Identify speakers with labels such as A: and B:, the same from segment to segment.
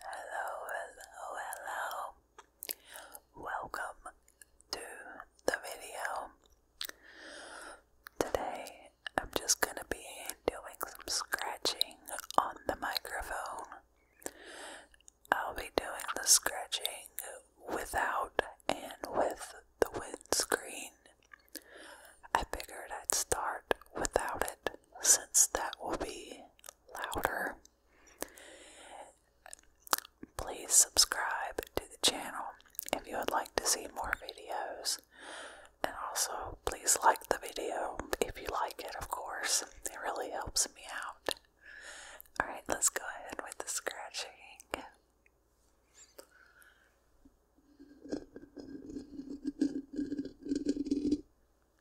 A: Hello, hello, hello. Welcome to the video. Today I'm just going to be doing some scratching on the microphone. I'll be doing the scratching without and with the windscreen. I figured I'd start without it since that will be louder. Please subscribe to the channel if you would like to see more videos. And also, please like the video if you like it, of course. It really helps me out. Alright, let's go ahead with the scratching.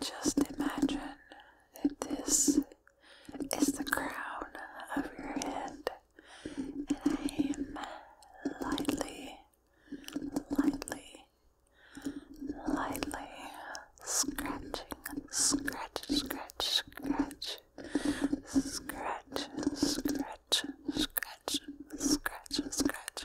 A: Just imagine that this is the crown of your head, and I am
B: lightly, lightly, lightly scratching, scratch, scratch, scratch, scratch, scratch, scratch, scratch, scratch, scratch. Scratch,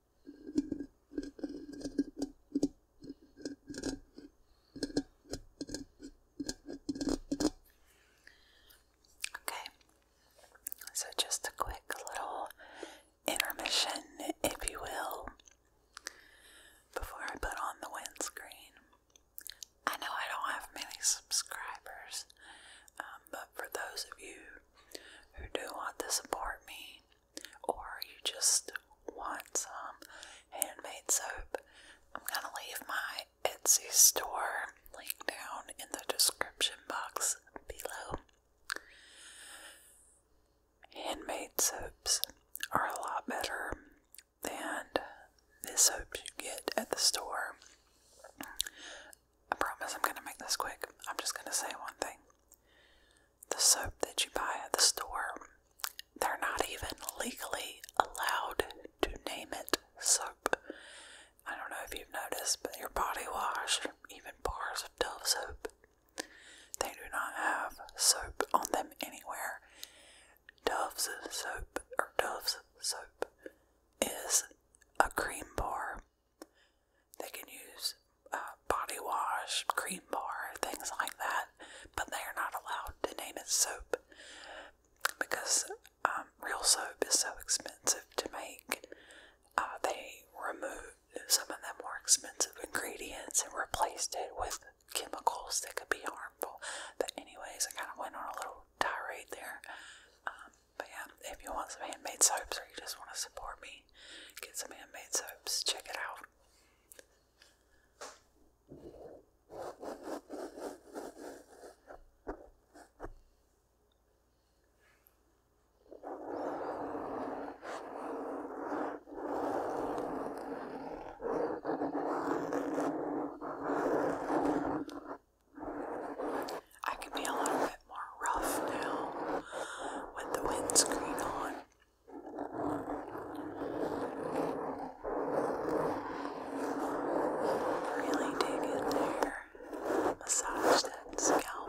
A: Okay, so just a quick little intermission, if you will, before I put on the windscreen. I know I don't have many subscribers, um, but for those of you who do want to support me, or you just want some handmade soap, I'm gonna leave my Etsy store link down in the description box below. Handmade soaps are a lot better than the soaps you get at the store. I promise I'm gonna make this quick. I'm just gonna say one thing. The soap that you buy at the store, they're not even legally allowed to name it soap. I don't know if you've noticed, but your body wash, even bars of Dove soap, they do not have soap on them anywhere. Dove's soap or Dove's soap is a cream bar they can use uh, body wash, cream bar, things like that, but they are not allowed to name it soap because um, real soap is so expensive to make. Uh, they remove some of the more expensive ingredients and replaced it with chemicals that could be harmful. But, anyways, I kind of went on a little tirade there. Um, but, yeah, if you want some handmade soaps or you just want to support me, Get some handmade soaps. Check it out.
B: I can be a little bit more rough now with the windscreen on. Really dig in there. Massage that scalp.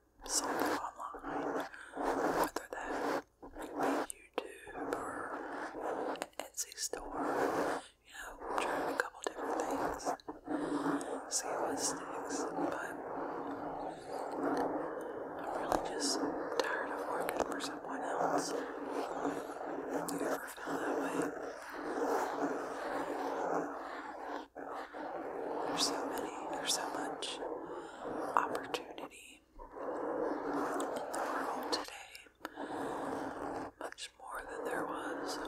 A: sold online, whether that be YouTube or Etsy store. You know, trying a
B: couple different things, see what sticks. But I'm really just tired of working for someone else. You ever feel that way? There's so many, there's so much opportunity in the world today, much more than there was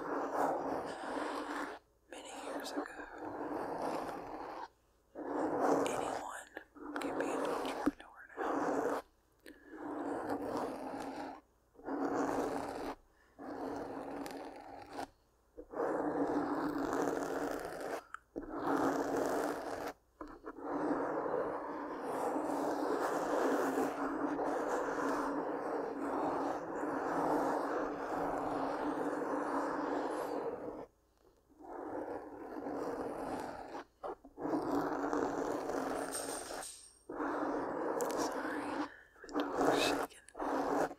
B: many years ago. Anyone can be an entrepreneur now. Sorry, my dog's shaking.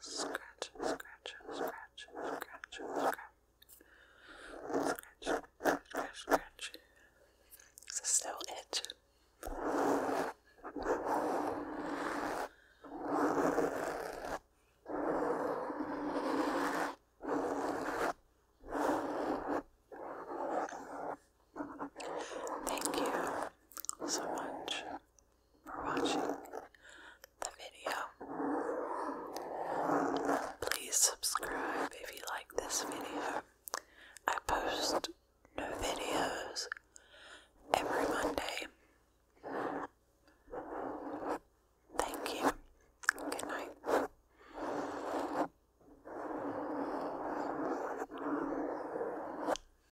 B: scratch, scratch, scratch, scratch, scratch, scratch, scratch, scratch. Is it still itch?
A: Thank you so much for watching the video. Please subscribe if you like this video. I post new videos every Monday.
B: Thank you. Good night.